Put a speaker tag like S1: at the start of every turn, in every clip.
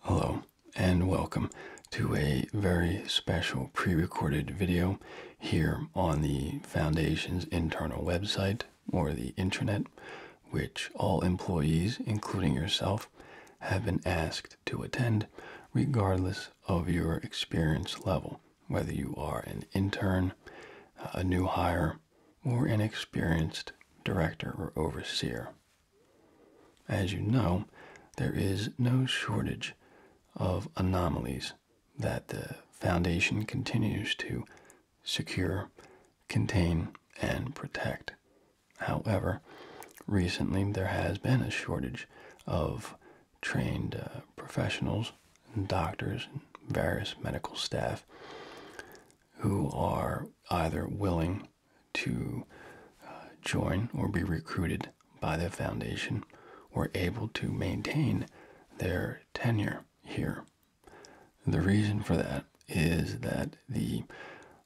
S1: Hello and welcome to a very special pre recorded video here on the Foundation's internal website or the intranet, which all employees, including yourself, have been asked to attend regardless of your experience level, whether you are an intern, a new hire, or an experienced director or overseer. As you know, there is no shortage of anomalies that the Foundation continues to secure, contain, and protect. However, recently there has been a shortage of trained uh, professionals, doctors, and various medical staff who are either willing to uh, join or be recruited by the foundation were able to maintain their tenure here. The reason for that is that the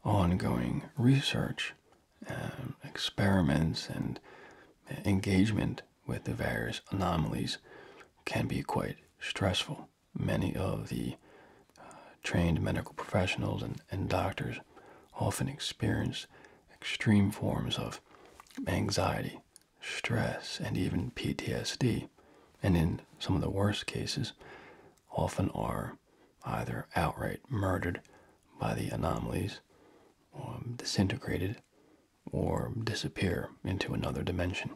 S1: ongoing research, um, experiments, and engagement with the various anomalies can be quite stressful. Many of the trained medical professionals and doctors often experience extreme forms of anxiety, stress, and even PTSD, and in some of the worst cases, often are either outright murdered by the anomalies, or um, disintegrated, or disappear into another dimension.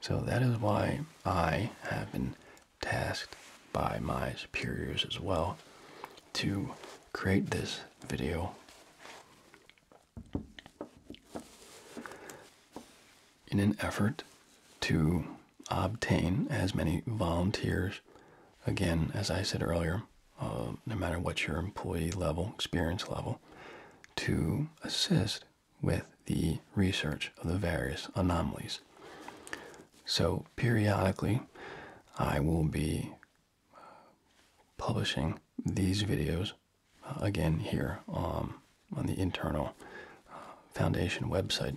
S1: So that is why I have been tasked by my superiors as well to create this video. In an effort to obtain as many volunteers, again, as I said earlier, uh, no matter what your employee level, experience level, to assist with the research of the various anomalies. So, periodically, I will be uh, publishing these videos uh, again here um, on the internal uh, foundation website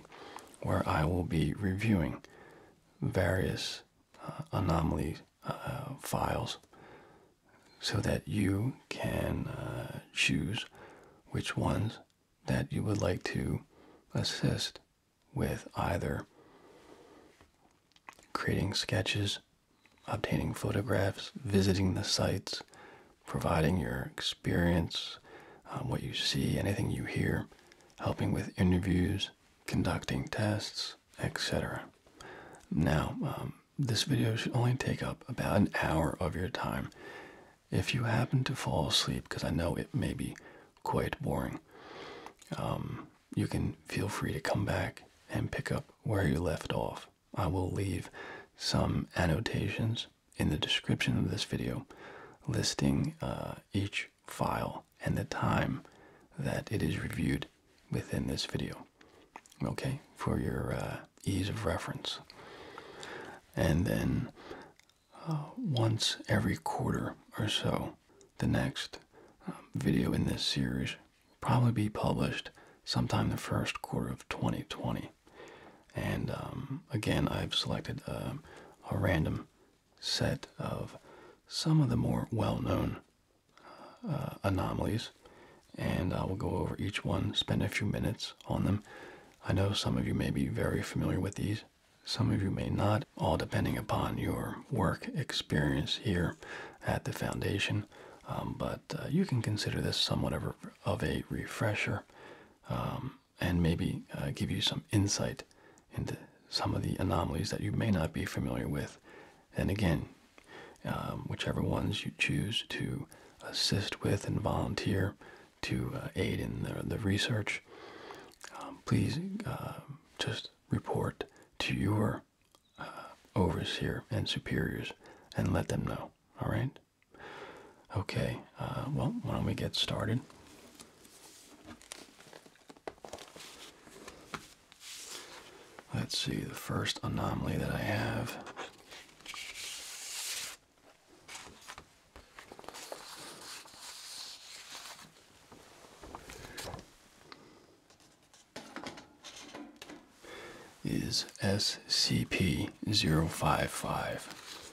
S1: where I will be reviewing various anomaly files so that you can choose which ones that you would like to assist with either creating sketches, obtaining photographs, visiting the sites, providing your experience, um, what you see, anything you hear, helping with interviews, conducting tests, etc. Now, um, this video should only take up about an hour of your time, if you happen to fall asleep, because I know it may be quite boring, um, you can feel free to come back and pick up where you left off. I will leave some annotations in the description of this video listing uh, each file and the time that it is reviewed within this video okay for your uh, ease of reference and then uh, once every quarter or so. The next um, video in this series will probably be published sometime the first quarter of 2020. And um, again, I've selected um, a random set of some of the more well-known uh, uh, anomalies, and I will go over each one, spend a few minutes on them. I know some of you may be very familiar with these, some of you may not, all depending upon your work experience here at the foundation. Um, but uh, you can consider this somewhat of a, refresher um, and maybe uh, give you some insight into some of the anomalies that you may not be familiar with. And again, um, whichever ones you choose to assist with and volunteer to uh, aid in the, the research, um, please uh, just report to your uh, overseer and superiors and let them know. All right? Okay, well, why don't we get started? Let's see, the first anomaly that I have is SCP 055.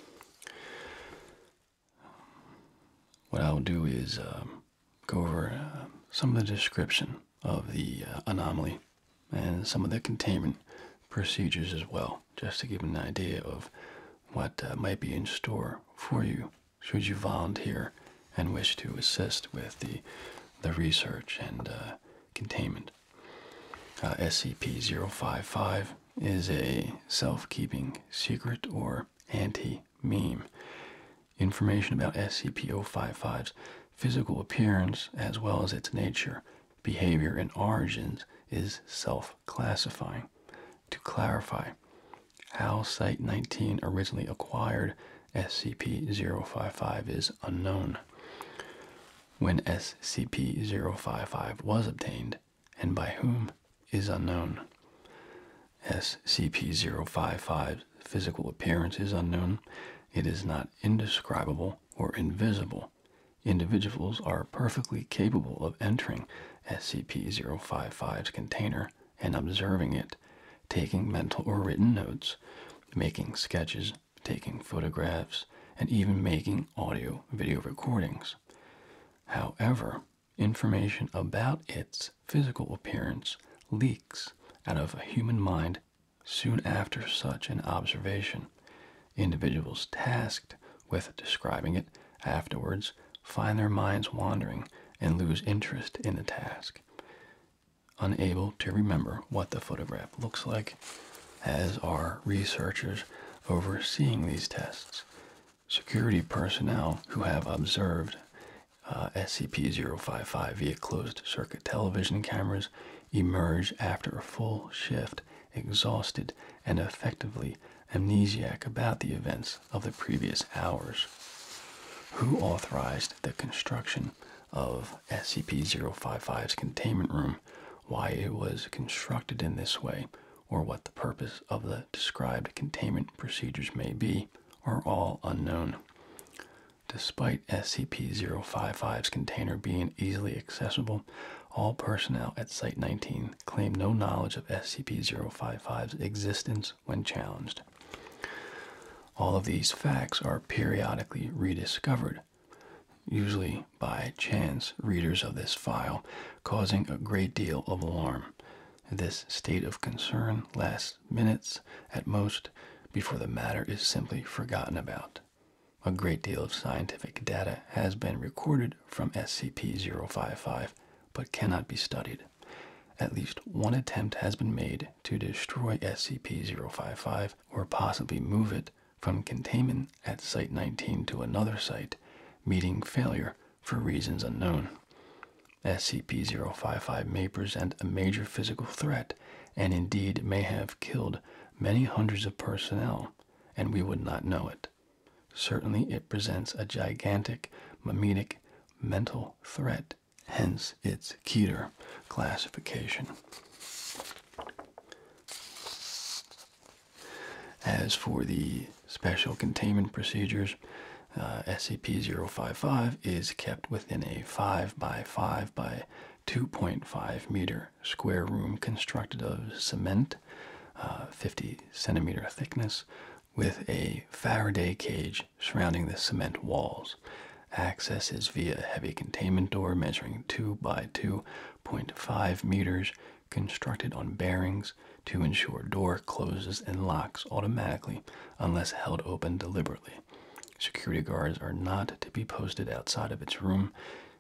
S1: What I'll do is um, go over um, some of the description of the uh, anomaly and some of the containment procedures as well, just to give an idea of what uh, might be in store for you should you volunteer and wish to assist with the, the research and uh, containment. Uh, SCP-055 is a self-keeping secret or anti-meme. Information about SCP-055's physical appearance as well as its nature behavior and origins is self classifying. To clarify, how Site 19 originally acquired SCP 055 is unknown. When SCP 055 was obtained, and by whom, is unknown. SCP 055's physical appearance is unknown. It is not indescribable or invisible. Individuals are perfectly capable of entering SCP-055's container and observing it, taking mental or written notes, making sketches, taking photographs, and even making audio video recordings. However, information about its physical appearance leaks out of a human mind soon after such an observation. Individuals tasked with describing it afterwards find their minds wandering and lose interest in the task. Unable to remember what the photograph looks like, as are researchers overseeing these tests. Security personnel who have observed uh, SCP 055 via closed circuit television cameras emerge after a full shift exhausted and effectively amnesiac about the events of the previous hours. Who authorized the construction of SCP 055's containment room, why it was constructed in this way, or what the purpose of the described containment procedures may be, are all unknown. Despite SCP 055's container being easily accessible, all personnel at Site 19 Claim no knowledge of SCP-055's existence when challenged. All of these facts are periodically rediscovered, usually by chance readers of this file, causing a great deal of alarm. This state of concern lasts minutes at most before the matter is simply forgotten about. A great deal of scientific data has been recorded from SCP-055 but cannot be studied. At least one attempt has been made to destroy SCP-055 or possibly move it from containment at Site 19 to another site, meeting failure for reasons unknown. SCP-055 may present a major physical threat and indeed may have killed many hundreds of personnel, and we would not know it. Certainly, it presents a gigantic mimetic mental threat, hence its Keter classification. As for the special containment procedures, uh, SCP-055 is kept within a 5 by 5 by 2.5 meter square room constructed of cement, uh, 50 centimeter thickness, with a Faraday cage surrounding the cement walls. Access is via a heavy containment door measuring 2 by 2.5 meters, constructed on bearings to ensure door closes and locks automatically unless held open deliberately. Security guards are not to be posted outside of its room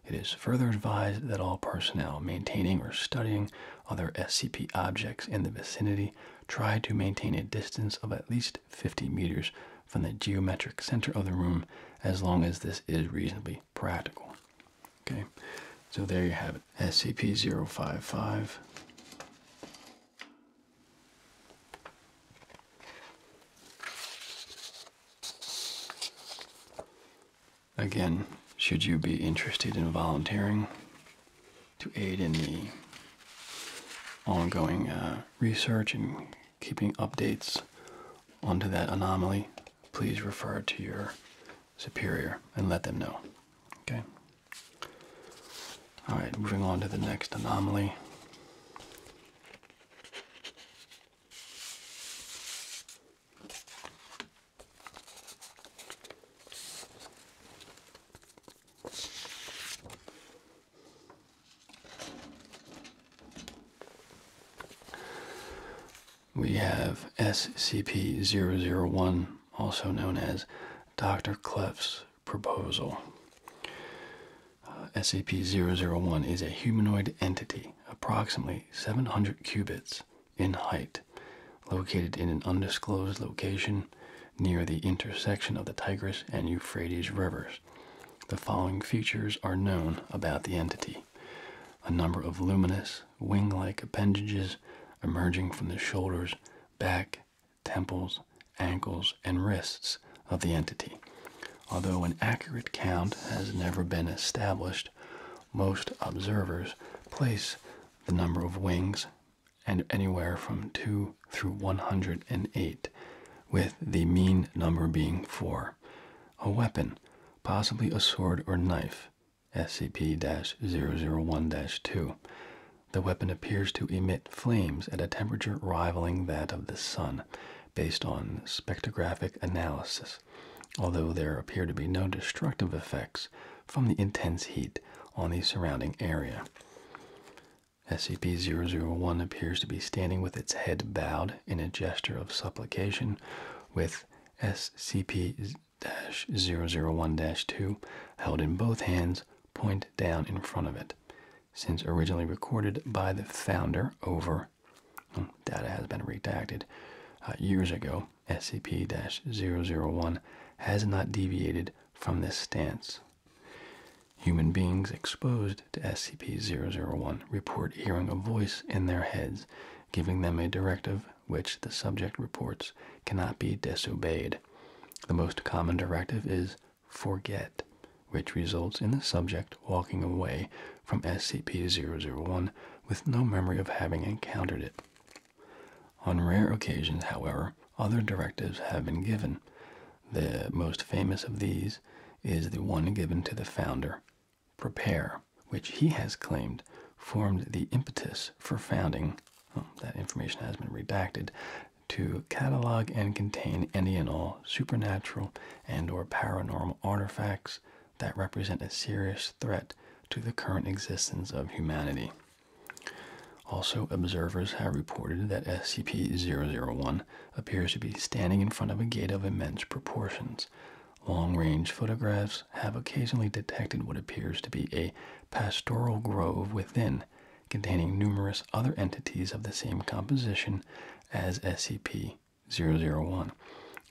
S1: it is further advised that all personnel maintaining or studying other SCP objects in the vicinity try to maintain a distance of at least 50 meters from the geometric center of the room as long as this is reasonably practical. Okay, so there you have it SCP 055. Again, should you be interested in volunteering to aid in the ongoing uh, research and keeping updates onto that anomaly, please refer to your superior and let them know. Okay? Alright, moving on to the next anomaly. We have SCP 001, also known as Dr. Clef's proposal. Uh, SCP 001 is a humanoid entity, approximately 700 qubits in height, located in an undisclosed location near the intersection of the Tigris and Euphrates rivers. The following features are known about the entity a number of luminous, wing like appendages emerging from the shoulders, back, temples, ankles, and wrists of the entity. Although an accurate count has never been established, most observers place the number of wings and anywhere from 2 through 108, with the mean number being 4. A weapon, possibly a sword or knife, SCP-001-2. The weapon appears to emit flames at a temperature rivaling that of the sun, based on spectrographic analysis although there appear to be no destructive effects from the intense heat on the surrounding area. SCP-001 appears to be standing with its head bowed in a gesture of supplication, with SCP-001-2 held in both hands, point down in front of it. Since originally recorded by the founder over Data has been redacted. Uh, years ago, SCP-001 has not deviated from this stance. Human beings exposed to SCP-001 report hearing a voice in their heads, giving them a directive which the subject reports cannot be disobeyed. The most common directive is forget, which results in the subject walking away from SCP-001 with no memory of having encountered it. On rare occasions, however, other directives have been given. The most famous of these is the one given to the founder, Prepare, which he has claimed formed the impetus for founding, that information has been redacted, to catalog and contain any and all supernatural and or paranormal artifacts, that represent a serious threat to the current existence of humanity. Also, observers have reported that SCP 001 appears to be standing in front of a gate of immense proportions. Long range photographs have occasionally detected what appears to be a pastoral grove within, containing numerous other entities of the same composition as SCP 001,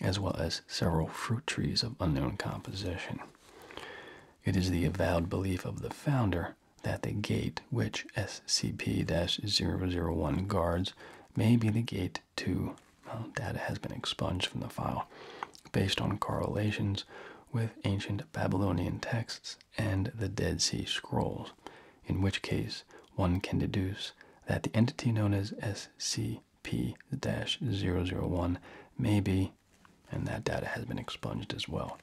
S1: as well as several fruit trees of unknown composition. It is the avowed belief of the founder that the gate which SCP 001 guards may be the gate to. Well, data has been expunged from the file based on correlations with ancient Babylonian texts and the Dead Sea Scrolls, in which case one can deduce that the entity known as SCP P-001 may be, and that data has been expunged as well.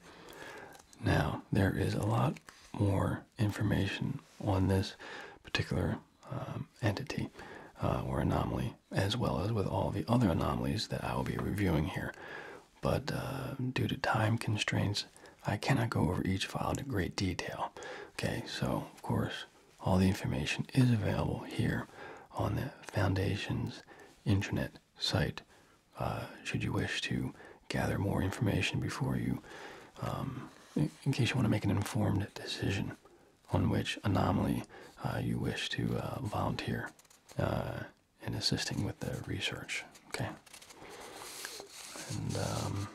S1: Now, there is a lot more information on this particular um, entity uh, or anomaly, as well as with all the other anomalies that I will be reviewing here. But uh, due to time constraints, I cannot go over each file in great detail. Okay, so of course, all the information is available here on the Foundation's intranet site. Uh, should you wish to gather more information before you, um, in, case you want to make an informed decision on which anomaly uh, you wish to uh, volunteer in assisting with the research. Okay. Um,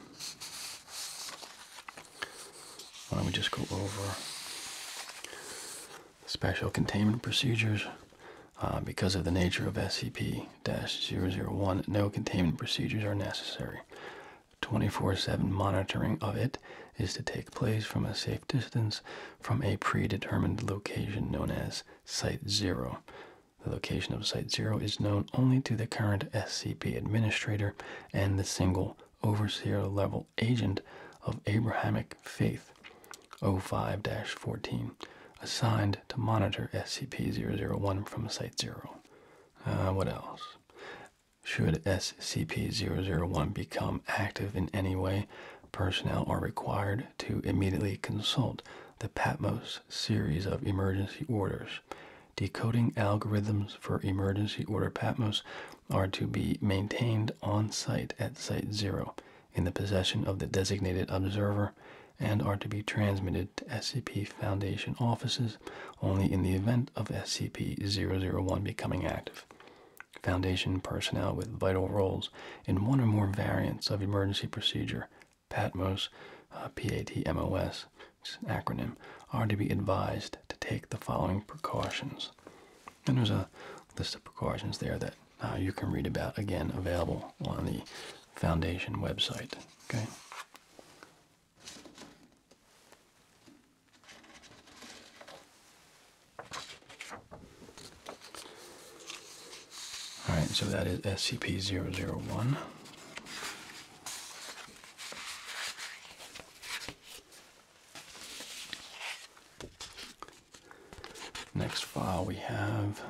S1: why don't we just go over special containment procedures? Uh, because of the nature of SCP 001, no containment procedures are necessary. 24 7 monitoring of it is to take place from a safe distance from a predetermined location known as Site Zero. The location of Site Zero is known only to the current SCP administrator and the single overseer level agent of Abrahamic Faith 05 14, assigned to monitor SCP 001 from Site Zero. Uh, what else? Should SCP 001 become active in any way, personnel are required to immediately consult the Patmos series of emergency orders. Decoding algorithms for emergency order Patmos are to be maintained on site at Site Zero in the possession of the designated observer and are to be transmitted to SCP Foundation offices only in the event of SCP 001 becoming active. Foundation personnel with vital roles in one or more variants of emergency procedure, PATMOS, uh, PATMOS, acronym, are to be advised to take the following precautions. And there's a list of precautions there that uh, you can read about, again, available on the foundation website. Okay. All right, so that is SCP-001. Next file we have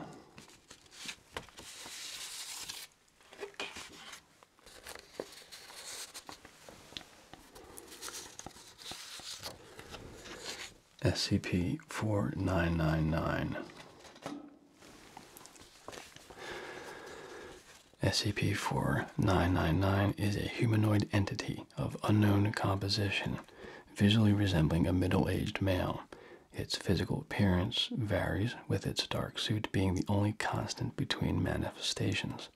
S1: SCP 4999. SCP-4999 is a humanoid entity of unknown composition, visually resembling a middle-aged male. Its physical appearance varies, with its dark suit being the only constant between manifestations.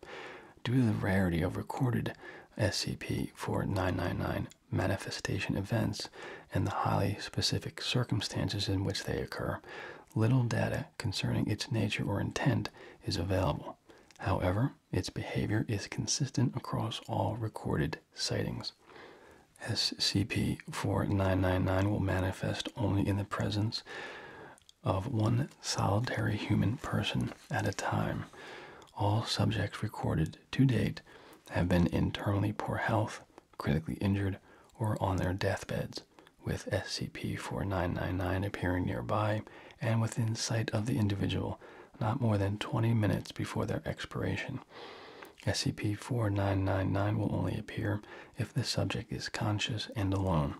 S1: Due to the rarity of recorded SCP-4999 manifestation events and the highly specific circumstances in which they occur, little data concerning its nature or intent is available. However, its behavior is consistent across all recorded sightings. SCP 4999 will manifest only in the presence of one solitary human person at a time. All subjects recorded to date have been internally poor health, critically injured, or on their deathbeds with SCP 4999 appearing nearby and within sight of the individual not more than 20 minutes before their expiration. SCP 4999 will only appear if the subject is conscious and alone.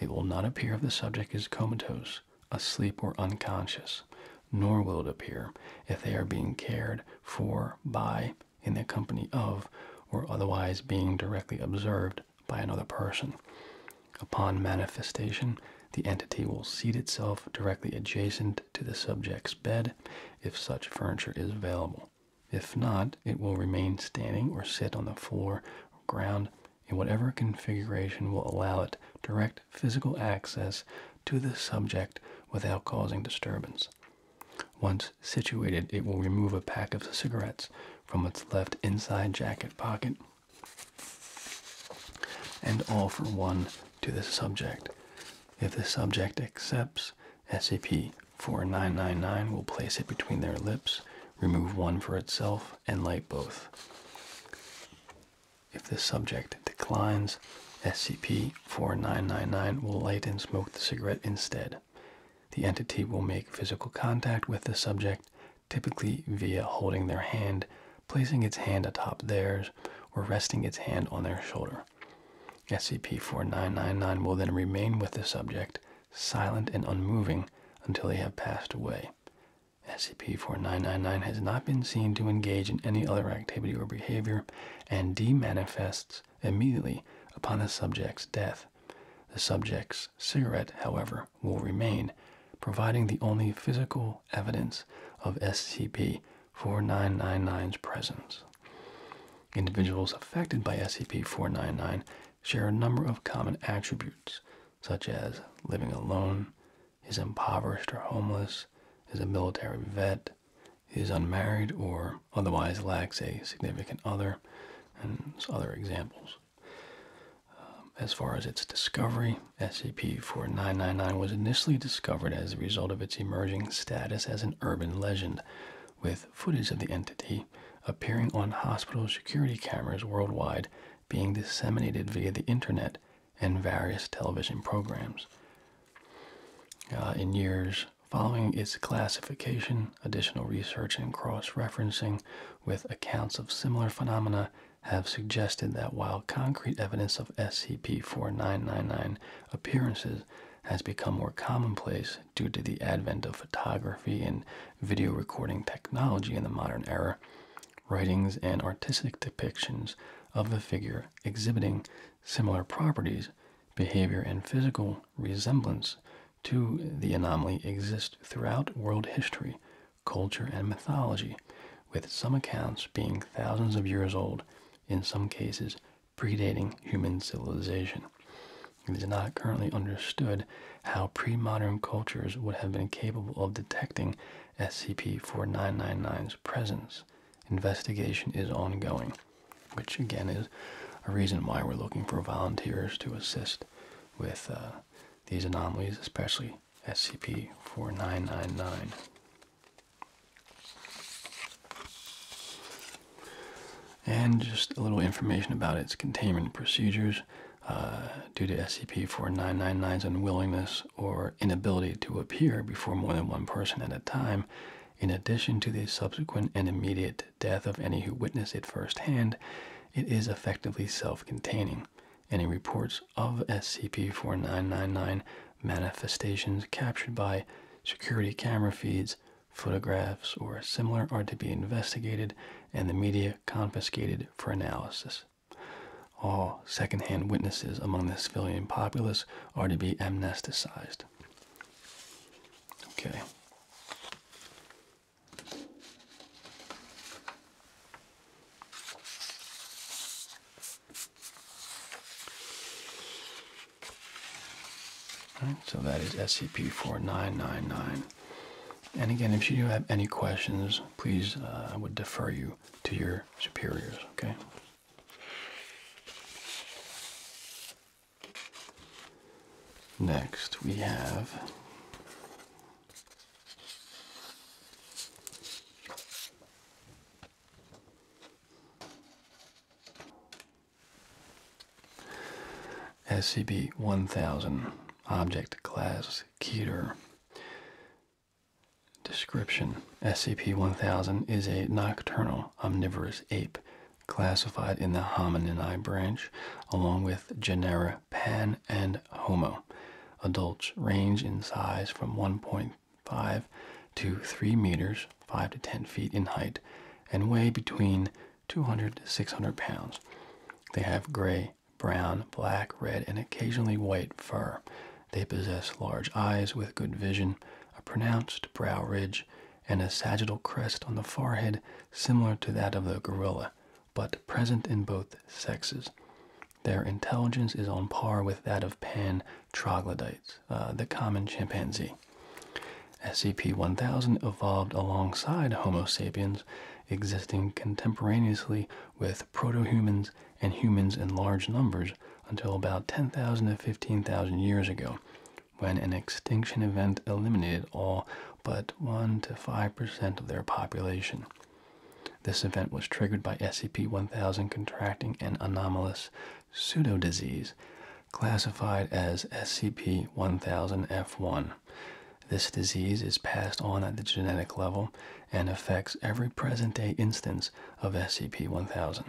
S1: It will not appear if the subject is comatose, asleep, or unconscious, nor will it appear if they are being cared for by, in the company of, or otherwise being directly observed by another person. Upon manifestation, the entity will seat itself directly adjacent to the subject's bed if such furniture is available. If not, it will remain standing or sit on the floor or ground in whatever configuration will allow it direct physical access to the subject without causing disturbance. Once situated, it will remove a pack of cigarettes from its left inside jacket pocket, and offer one to the subject. If the subject accepts, SCP-4999 will place it between their lips, remove one for itself, and light both. If the subject declines, SCP-4999 will light and smoke the cigarette instead. The entity will make physical contact with the subject typically via holding their hand, placing its hand atop theirs, or resting its hand on their shoulder. SCP 4999 will then remain with the subject, silent and unmoving, until they have passed away. SCP 4999 has not been seen to engage in any other activity or behavior and demanifests immediately upon the subject's death. The subject's cigarette, however, will remain, providing the only physical evidence of SCP 4999's presence. Individuals affected by SCP 4999 share a number of common attributes, such as living alone, is impoverished or homeless, is a military vet, is unmarried or otherwise lacks a significant other, and other examples. Um, as far as its discovery, SCP-4999 was initially discovered as a result of its emerging status as an urban legend, with footage of the entity appearing on hospital security cameras worldwide being disseminated via the internet and various television programs. Uh, in years following its classification, additional research and cross-referencing with accounts of similar phenomena have suggested that while concrete evidence of SCP-4999 appearances has become more commonplace due to the advent of photography and video recording technology in the modern era, writings and artistic depictions of a figure exhibiting similar properties, behavior, and physical resemblance to the anomaly exist throughout world history, culture, and mythology, with some accounts being thousands of years old, in some cases predating human civilization. It is not currently understood how pre-modern cultures would have been capable of detecting SCP-4999's presence. Investigation is ongoing, which again is a reason why we're looking for volunteers to assist with uh, these anomalies, especially SCP 4999. And just a little information about its containment procedures. Uh, due to SCP-4999's unwillingness or inability to appear before more than one person at a time, in addition to the subsequent and immediate death of any who witness it firsthand, it is effectively self contained Any reports of SCP-4999 manifestations captured by security camera feeds, photographs, or similar are to be investigated and the media confiscated for analysis. All second-hand witnesses among the civilian populace are to be amnesticized. Okay so that is SCP-4999. And again, if you do have any questions, please, uh, I would defer you to your superiors, okay? Next, we have SCP-1000 Object Class Keter Description SCP-1000 is a nocturnal omnivorous ape classified in the Hominini branch along with genera Pan and Homo. Adults range in size from 1.5 to 3 meters, 5 to 10 feet in height, and weigh between 200 to 600 pounds. They have gray, brown, black, red, and occasionally white fur. They possess large eyes with good vision, a pronounced brow ridge, and a sagittal crest on the forehead similar to that of the gorilla but present in both sexes. Their intelligence is on par with that of pan troglodytes, uh, the common chimpanzee. SCP 1000 evolved alongside Homo sapiens, existing contemporaneously with protohumans and humans in large numbers until about 10,000 to 15,000 years ago, when an extinction event eliminated all but 1 to 5% of their population. This event was triggered by SCP 1000 contracting an anomalous pseudo-disease classified as SCP 1000F1. This disease is passed on at the genetic level and affects every present-day instance of SCP 1000.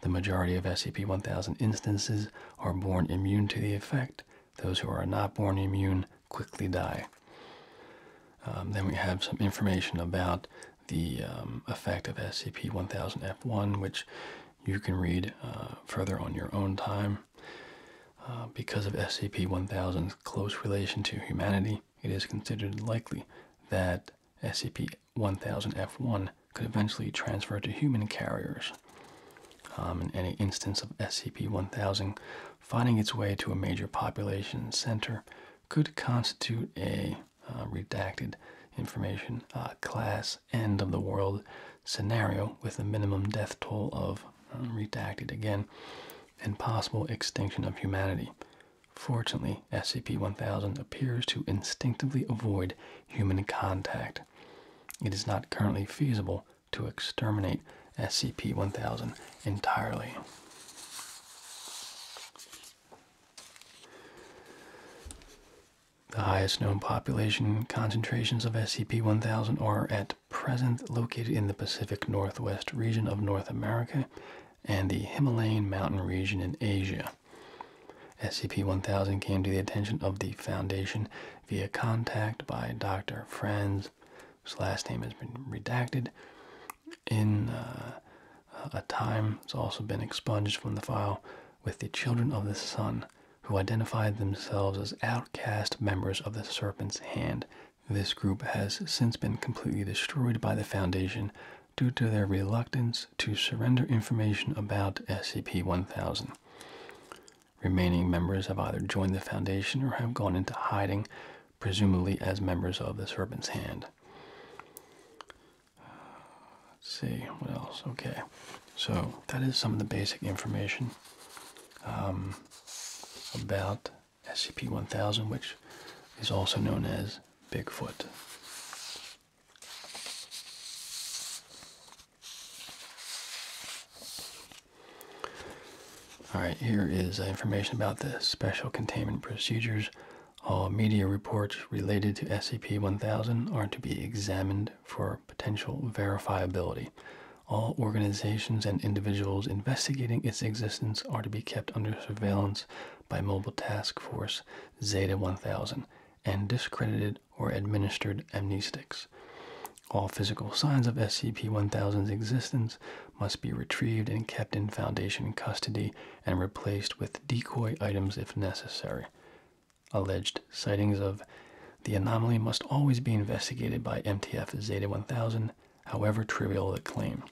S1: The majority of SCP 1000 instances are born immune to the effect those who are not born immune quickly die. Um, then we have some information about the um, effect of SCP-1000-F1, which you can read uh, further on your own time. Uh, because of SCP-1000's close relation to humanity, it is considered likely that SCP-1000-F1 could eventually transfer to human carriers. Um, in any instance of SCP-1000 finding its way to a major population center could constitute a uh, redacted information uh, class end of the world scenario with a minimum death toll of uh, redacted again and possible extinction of humanity. Fortunately, SCP-1000 appears to instinctively avoid human contact. It is not currently feasible to exterminate SCP 1000 entirely. The highest known population concentrations of SCP 1000 are at present located in the Pacific Northwest region of North America and the Himalayan mountain region in Asia. SCP 1000 came to the attention of the Foundation via contact by Dr. Franz Williams, whose last name has been redacted in uh, a time it's also been expunged from the file with the children of the sun who identified themselves as outcast members of the serpent's hand this group has since been completely destroyed by the foundation due to their reluctance to surrender information about scp-1000 Remaining members have either joined the Foundation or have gone into hiding, presumably as members of the Serpent's Hand. Let's see, what else? Okay, so that is some of the basic information um, about SCP 1000, which is also known as Bigfoot. All right, here is information about the special containment procedures. All media reports related to SCP-1000 are to be examined for potential verifiability. All organizations and individuals investigating its existence are to be kept under surveillance by Mobile Task Force Zeta 1000 and discredited or administered amnestics. All physical signs of SCP 1000's existence must be retrieved and kept in Foundation custody and replaced with decoy items if necessary. Alleged sightings of the anomaly must always be investigated by MTF Zeta 1000, however trivial the claim.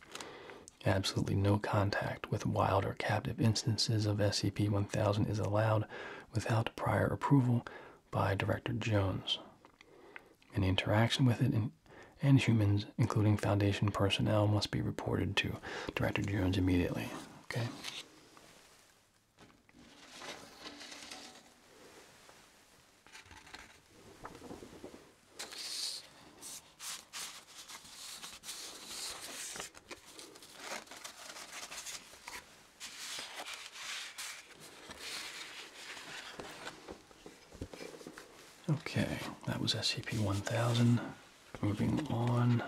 S1: Absolutely no contact with wild or captive instances of SCP 1000 is allowed without prior approval by director Jones, Any interaction with it and humans, including Foundation personnel, must be reported to Director Jones immediately. Okay. Okay, that was SCP-1000. Moving on.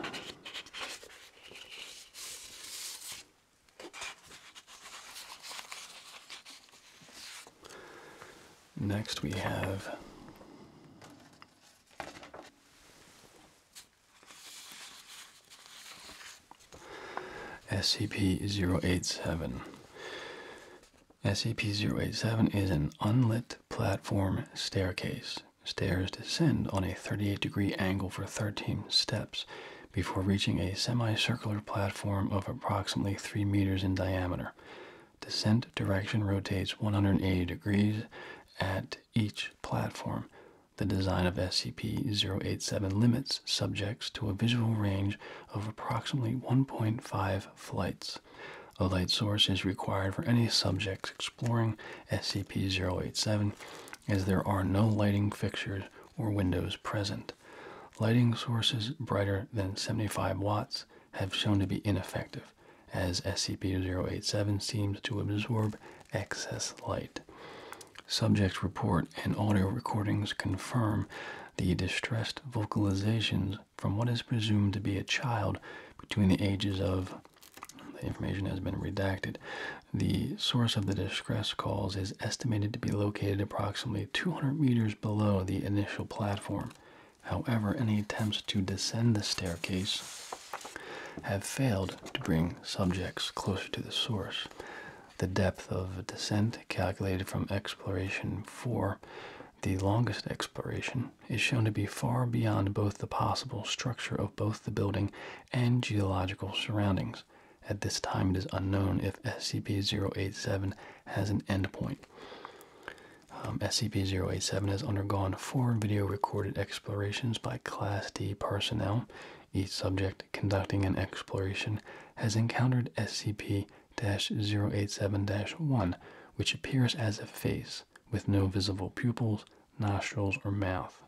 S1: Next we have SCP-087 SCP-087 is an unlit platform staircase. Stairs descend on a 38 degree angle for 13 steps before reaching a semicircular platform of approximately 3 meters in diameter. Descent direction rotates 180 degrees at each platform. The design of SCP-087 limits subject to a visual range of approximately 1.5 flights. A light source is required for any subjects exploring SCP 087, as there are no lighting fixtures or windows present. Lighting sources brighter than 75 watts have shown to be ineffective, as SCP 087 seems to absorb excess light. Subject report and audio recordings confirm the distressed vocalizations from what is presumed to be a child between the ages of. The information has been redacted. The source of the distress calls is estimated to be located approximately 200 meters below the initial platform. However, any attempts to descend the staircase have failed to bring subjects closer to the source the depth of descent calculated from exploration 4, the longest exploration, is shown to be far beyond both the possible structure of both the building and geological surroundings. At this time, it is unknown if SCP-087 has an endpoint. Um, SCP-087 has undergone four video recorded explorations by Class D personnel each subject conducting an exploration has encountered SCP 087 1, which appears as a face with no visible pupils, nostrils, or mouth.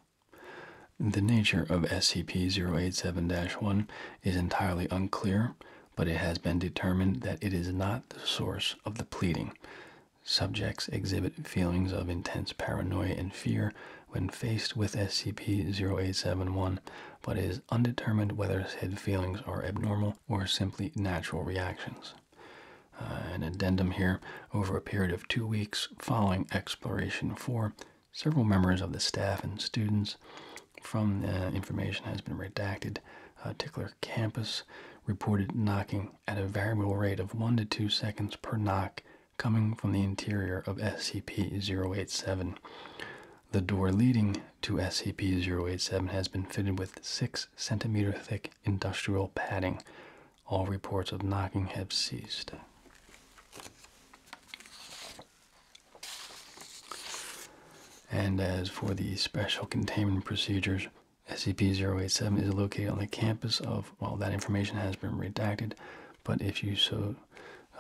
S1: The nature of SCP 087 1 is entirely unclear, but it has been determined that it is not the source of the pleading. Subjects exhibit feelings of intense paranoia and fear when faced with SCP-0871, but is undetermined whether said feelings are abnormal or simply natural reactions. Uh, an addendum here, over a period of two weeks following Exploration 4, several members of the staff and students from information has been redacted. Tickler campus reported knocking at a variable rate of 1 to 2 seconds per knock coming from the interior of SCP-087. The door leading to SCP 087 has been fitted with 6 centimeter thick industrial padding. All reports of knocking have ceased. And as for the special containment procedures, SCP 087 is located on the campus of, well, that information has been redacted, but if you so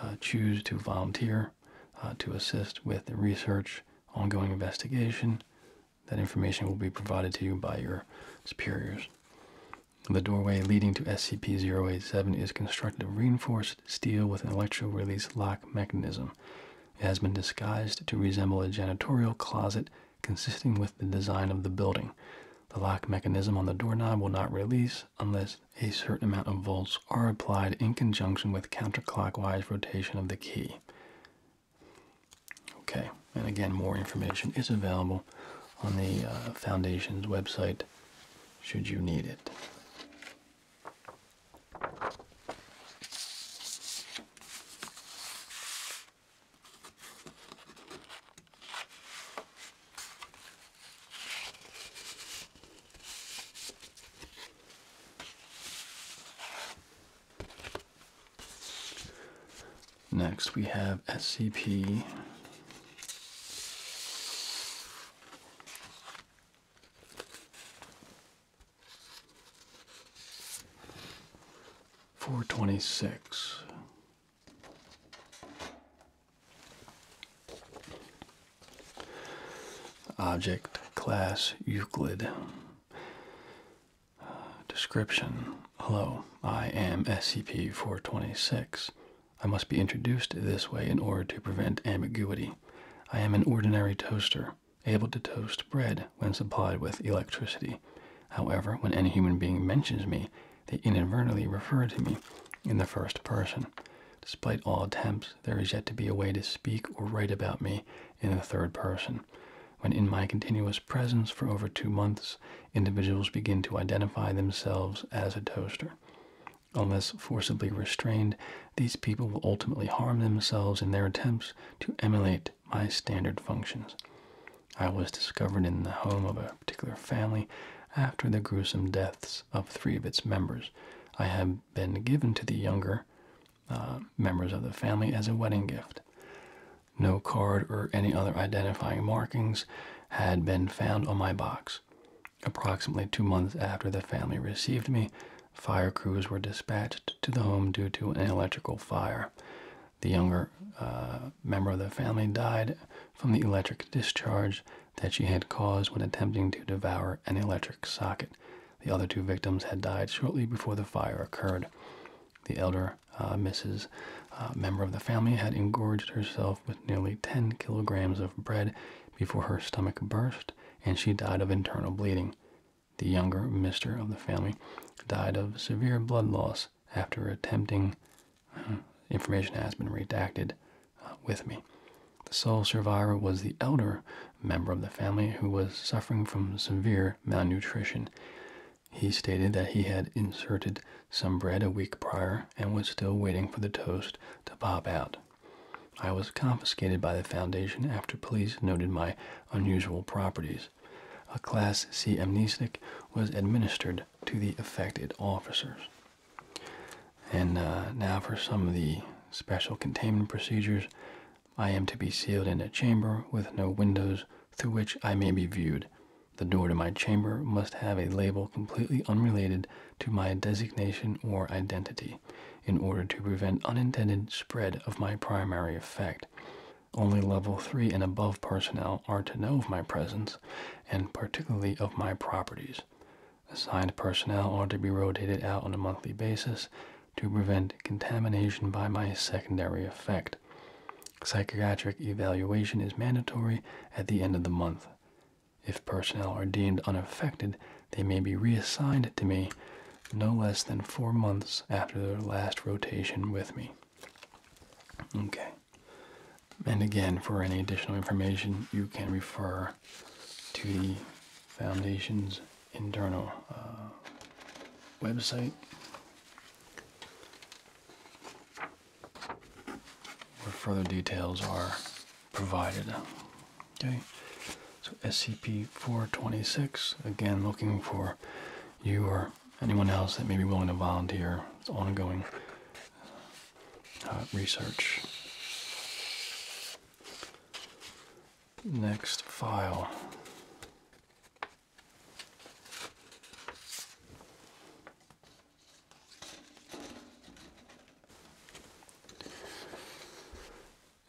S1: uh, choose to volunteer uh, to assist with the research, ongoing investigation. That information will be provided to you by your superiors. The doorway leading to SCP-087 is constructed of reinforced steel with an electro-release lock mechanism. It has been disguised to resemble a janitorial closet consistent with the design of the building. The lock mechanism on the doorknob will not release unless a certain amount of volts are applied in conjunction with counterclockwise rotation of the key. Okay, and again, more information is available on the uh, Foundation's website should you need it. Next, we have SCP. Four twenty six. Object class Euclid. description Hello, I am SCP 426. I must be introduced this way in order to prevent ambiguity. I am an ordinary toaster, able to toast bread when supplied with electricity. However, when any human being mentions me, they inadvertently refer to me in the first person. Despite all attempts, there is yet to be a way to speak or write about me in the third person. When in my continuous presence for over two months, individuals begin to identify themselves as a toaster. Unless forcibly restrained, these people will ultimately harm themselves in their attempts to emulate my standard functions. I was discovered in the home of a particular family after their gruesome deaths of three of its members. I have been given to the younger uh, members of the family as a wedding gift. No card or any other identifying markings had been found on my box. Approximately two months after the family received me, fire crews were dispatched to the home due to an electrical fire. The younger uh, member of the family died from the electric discharge that she had caused when attempting to devour an electric socket. The other two victims had died shortly before the fire occurred. The elder uh, Mrs. Uh, member of the family had engorged herself with nearly 10 kilograms of bread before her stomach burst and she died of internal bleeding. The younger Mr. of the family died of severe blood loss after attempting information has been redacted uh, with me. The sole survivor was the elder member of the family who was suffering from severe malnutrition. He stated that he had inserted some bread a week prior and was still waiting for the toast to pop out. I was confiscated by the foundation after police noted my unusual properties. A Class C amnesic was administered to the affected officers. And uh, now for some of the special containment procedures. I am to be sealed in a chamber with no windows through which I may be viewed. The door to my chamber must have a label completely unrelated to my designation or identity in order to prevent unintended spread of my primary effect. Only level 3 and above personnel are to know of my presence, and particularly of my properties assigned personnel are to be rotated out on a monthly basis to prevent contamination by my secondary effect. Psychiatric evaluation is mandatory at the end of the month. If personnel are deemed unaffected, they may be reassigned to me no less than four months after their last rotation with me. Okay. And again, for any additional information, you can refer to the foundation's internal uh, website. Where further details are provided. Okay, so SCP 426 again, looking for you or anyone else that may be willing to volunteer. It's ongoing research. Next file.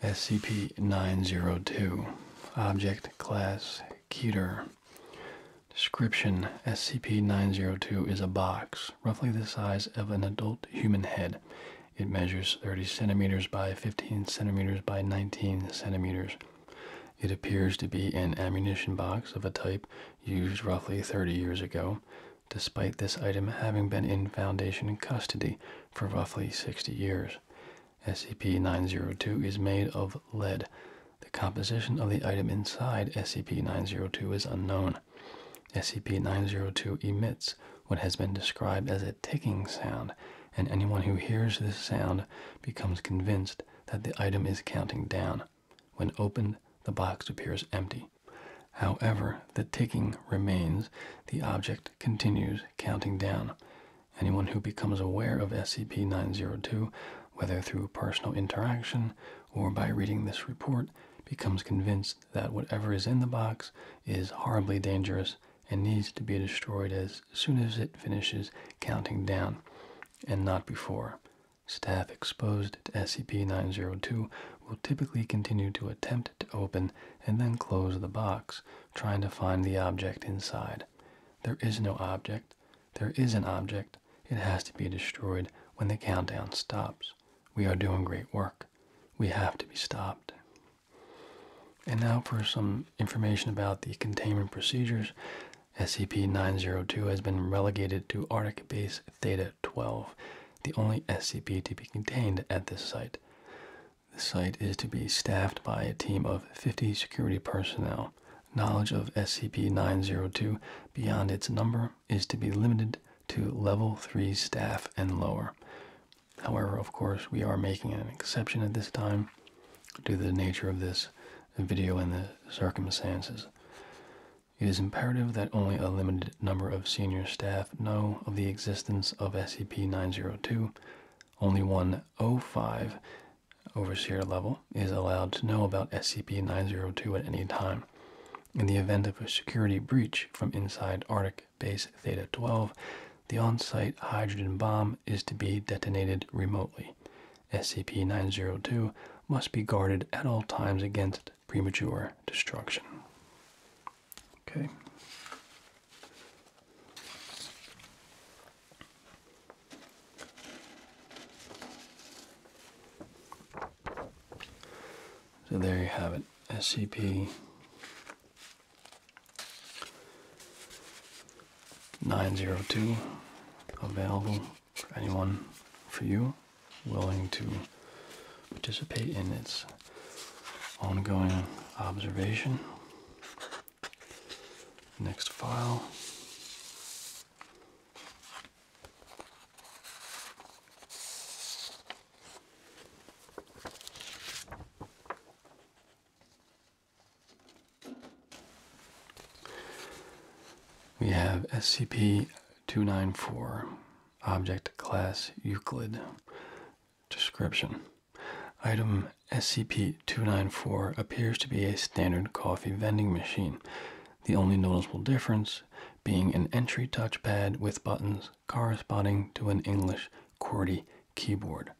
S1: SCP-902 Object Class Keter Description SCP-902 is a box roughly the size of an adult human head. It measures 30 centimeters by 15 centimeters by 19 centimeters. It appears to be an ammunition box of a type used roughly 30 years ago, despite this item having been in Foundation custody for roughly 60 years. SCP 902 is made of lead. The composition of the item inside SCP 902 is unknown. SCP-902 emits what has been described as a ticking sound, and anyone who hears this sound becomes convinced that the item is counting down. When opened, the box appears empty. However, the ticking remains. The object continues counting down. Anyone who becomes aware of SCP 902, whether through personal interaction or by reading this report, becomes convinced that whatever is in the box is horribly dangerous and needs to be destroyed as soon as it finishes counting down, and not before. Staff exposed to SCP-902 will typically continue to attempt to open and then close the box, trying to find the object inside. There is no object. There is an object. It has to be destroyed when the countdown stops. We are doing great work. We have to be stopped. And now for some information about the containment procedures. SCP-902 has been relegated to Arctic Base Theta-12, the only SCP to be contained at this site. The site is to be staffed by a team of 50 security personnel. Knowledge of SCP-902 beyond its number is to be limited to level 3 staff and lower. However, of course, we are making an exception at this time due to the nature of this video and the circumstances. It is imperative that only a limited number of senior staff know of the existence of SCP-902. Only 105 Overseer level is allowed to know about SCP-902 at any time. In the event of a security breach from inside Arctic Base Theta 12, the on site hydrogen bomb is to be detonated remotely. SCP 902 must be guarded at all times against premature destruction. Okay. So there you have it, SCP 902 available for anyone, for you, willing to participate in its ongoing observation. Next file. We have SCP-294, Object Class Euclid. Description. Item SCP-294 appears to be a standard coffee vending machine the only noticeable difference being an entry touchpad with buttons corresponding to an English QWERTY keyboard.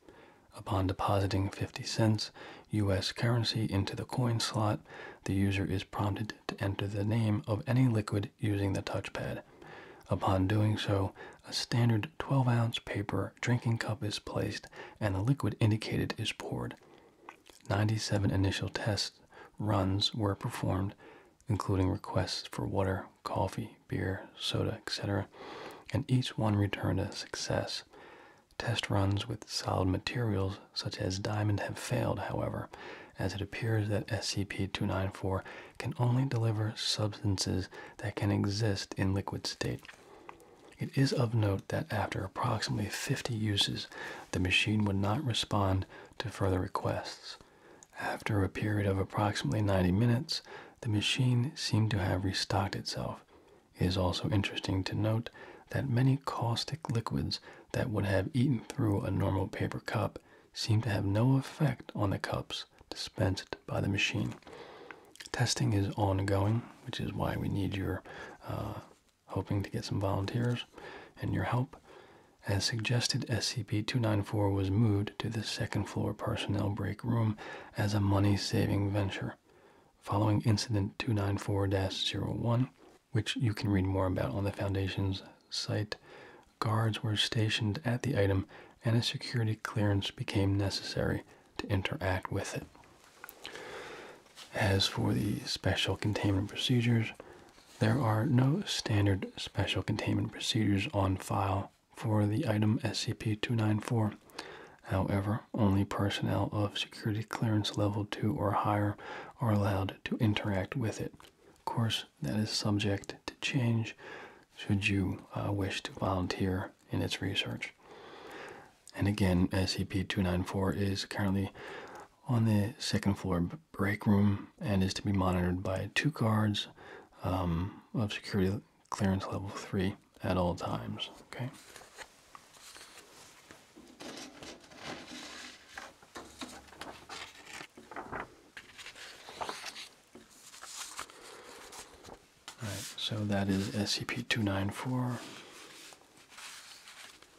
S1: Upon depositing 50 cents US currency into the coin slot, the user is prompted to enter the name of any liquid using the touchpad. Upon doing so, a standard 12 ounce paper drinking cup is placed and the liquid indicated is poured. 97 initial test runs were performed including requests for water, coffee, beer, soda, etc., and each one returned a success. Test runs with solid materials such as diamond have failed, however, as it appears that SCP 294 can only deliver substances that can exist in liquid state. It is of note that after approximately 50 uses, the machine would not respond to further requests. After a period of approximately 90 minutes, the machine seemed to have restocked itself. It is also interesting to note that many caustic liquids that would have eaten through a normal paper cup seem to have no effect on the cups dispensed by the machine. Testing is ongoing, which is why we need your uh, hoping to get some volunteers and your help. As suggested, SCP 294 was moved to the second floor personnel break room as a money saving venture. Following Incident 294 01, which you can read more about on the Foundation's site, guards were stationed at the item and a security clearance became necessary to interact with it. As for the special containment procedures, there are no standard special containment procedures on file for the item SCP-294. However, only personnel of security clearance level 2 or higher are allowed to interact with it. Of course, that is subject to change should you uh, wish to volunteer in its research. And again, SCP-294 is currently on the second floor break room and is to be monitored by two guards um, of security clearance level 3 at all times. Okay. All right, so that is SCP-294.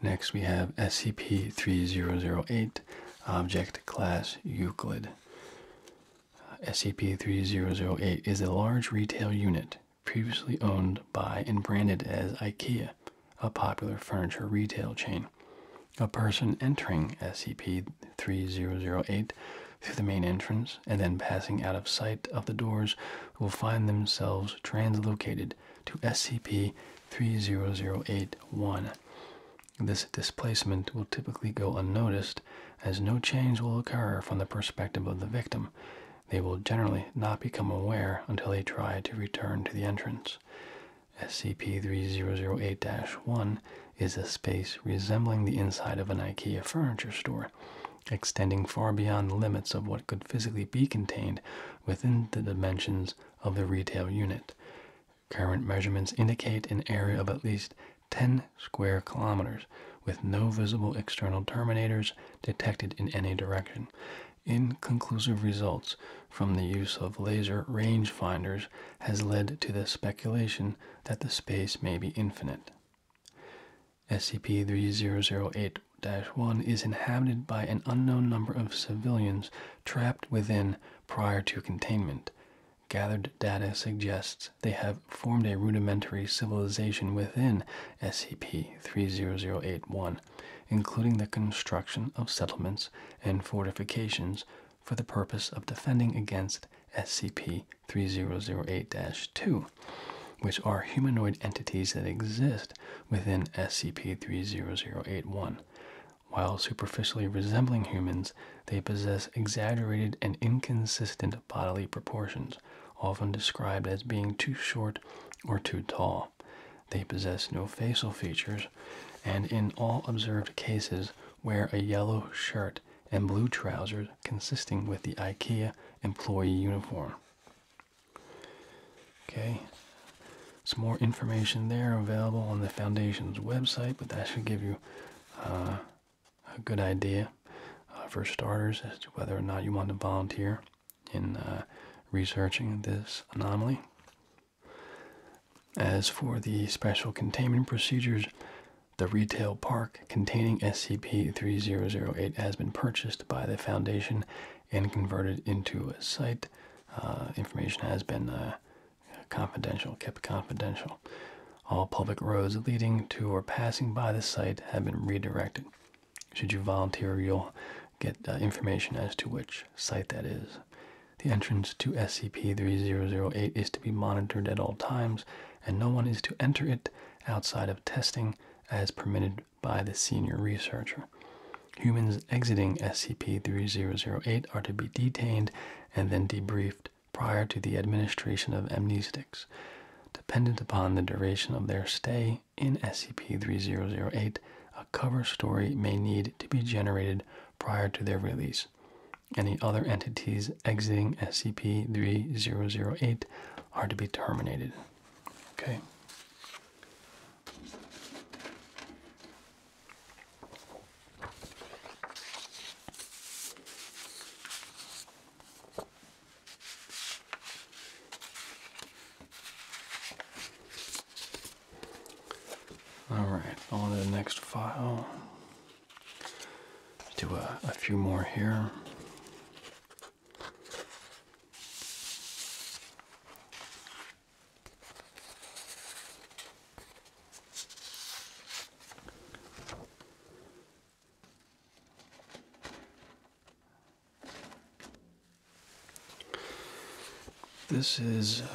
S1: Next, we have SCP-3008, Object Class Euclid. SCP-3008 is a large retail unit previously owned by and branded as IKEA, a popular furniture retail chain. A person entering SCP-3008 through the main entrance and then passing out of sight of the doors, will find themselves translocated to SCP 3008 one This displacement will typically go unnoticed, as no change will occur from the perspective of the victim. They will generally not become aware until they try to return to the entrance. SCP 3008 1 is a space resembling the inside of an IKEA furniture store extending far beyond the limits of what could physically be contained within the dimensions of the retail unit. Current measurements indicate an area of at least 10 square kilometers with no visible external terminators detected in any direction. Inconclusive results from the use of laser rangefinders has led to the speculation that the space may be infinite. SCP-3008-1 is inhabited by an unknown number of civilians trapped within prior to containment. Gathered data suggests they have formed a rudimentary civilization within SCP-3008-1, including the construction of settlements and fortifications for the purpose of defending against SCP-3008-2 which are humanoid entities that exist within SCP 30081. While superficially resembling humans, they possess exaggerated and inconsistent bodily proportions, often described as being too short or too tall. They possess no facial features, and in all observed cases, wear a yellow shirt and blue trousers consisting with the IKEA employee uniform. Okay, some more information there available on the foundation's website, but that should give you uh, a good idea uh, for starters as to whether or not you want to volunteer in uh, researching this anomaly. As for the special containment procedures, the retail park containing SCP 3008 has been purchased by the Foundation and converted into a site. Uh, information has been uh, confidential, kept confidential. All public roads leading to or passing by the site have been redirected. Should you volunteer, you'll get uh, information as to which site that is. The entrance to SCP 3008 is to be monitored at all times, and no one is to enter it outside of testing as permitted by the senior researcher. Humans exiting SCP 3008 are to be detained and then debriefed prior to the administration of amnestics. Dependent upon the duration of their stay in SCP 3008, a cover story may need to be generated prior to their release. Any other entities exiting SCP 3008 are to be terminated. Okay. All right, on to the next file. Do a, few more here. This is uh,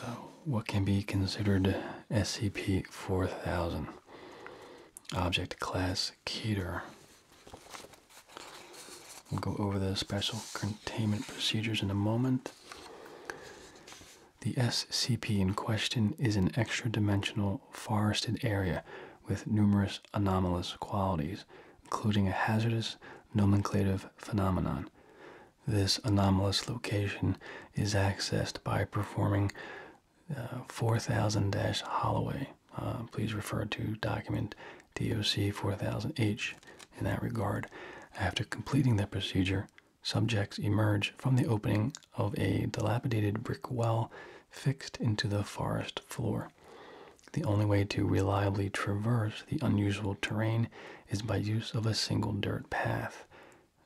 S1: what can be considered SCP 4000, Object Class Keter. We'll go over the special containment procedures in a moment. The SCP in question is an extra dimensional forested area with numerous anomalous qualities, including a hazardous nomenclative phenomenon. This anomalous location is accessed by performing uh, 4000 Holloway uh, please refer to document DOC 4000H in that regard. After completing the procedure, subjects emerge from the opening of a dilapidated brick well fixed into the forest floor. The only way to reliably traverse the unusual terrain is by use of a single dirt path.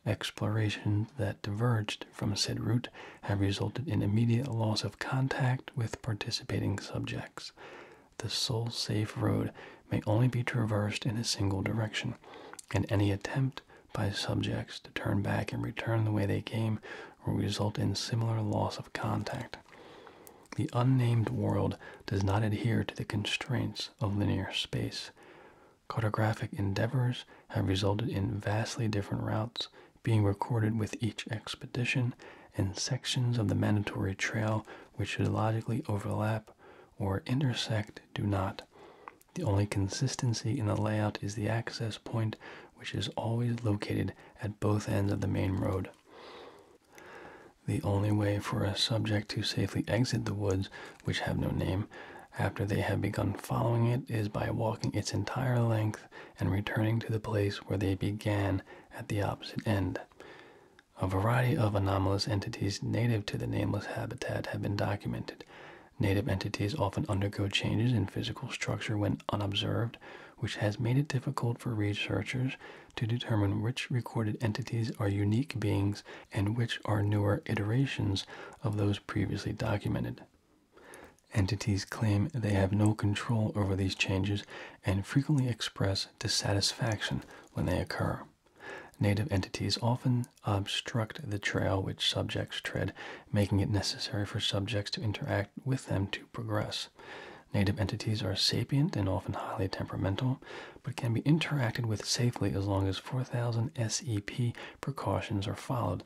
S1: Exploration that diverged from said route have resulted in immediate loss of contact with participating subjects. The sole safe road may only be traversed in a single direction, and any attempt by subjects to turn back and return the way they came will result in similar loss of contact. The unnamed world does not adhere to the constraints of linear space. Cartographic endeavors have resulted in vastly different routes being recorded with each expedition, and sections of the mandatory trail which should logically overlap or intersect do not. The only consistency in the layout is the access point, which is always located at both ends of the main road. The only way for a subject to safely exit the woods, which have no name, after they have begun following it is by walking its entire length and returning to the place where they began at the opposite end. A variety of anomalous entities native to the nameless habitat have been documented. Native entities often undergo changes in physical structure when unobserved, which has made it difficult for researchers to determine which recorded entities are unique beings and which are newer iterations of those previously documented. Entities claim they have no control over these changes and frequently express dissatisfaction when they occur. Native entities often obstruct the trail which subjects tread, making it necessary for subjects to interact with them to progress. Native entities are sapient and often highly temperamental, but can be interacted with safely as long as 4000 SEP precautions are followed.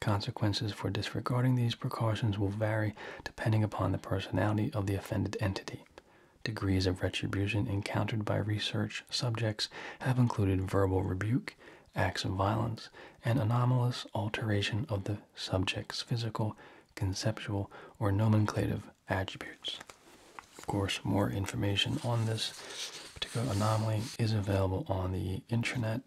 S1: Consequences for disregarding these precautions will vary depending upon the personality of the offended entity. Degrees of retribution encountered by research subjects have included verbal rebuke, acts of violence, and anomalous alteration of the subject's physical, conceptual, or nomenclative attributes. Of course, more information on this particular anomaly is available on the intranet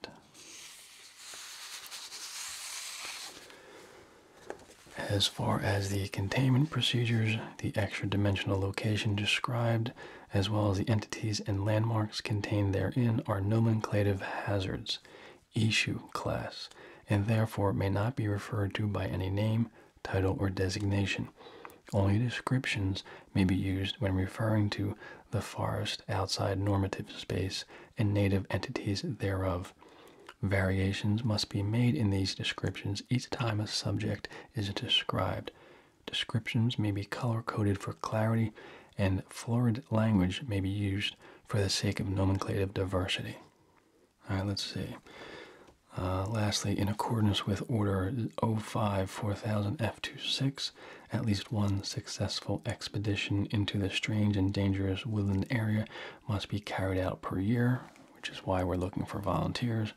S1: as far as the containment procedures, the extra dimensional location described, as well as the entities and landmarks contained therein, are nomenclative hazards, issue class, and therefore may not be referred to by any name, title, or designation. Only descriptions may be used when referring to the forest outside normative space and native entities thereof. Variations must be made in these descriptions each time a subject is described. Descriptions may be color coded for clarity, and florid language may be used for the sake of nomenclative diversity. All right, let's see. Uh, lastly, in accordance with Order O five four thousand 4000 F26, at least one successful expedition into the strange and dangerous woodland area must be carried out per year, which is why we're looking for volunteers,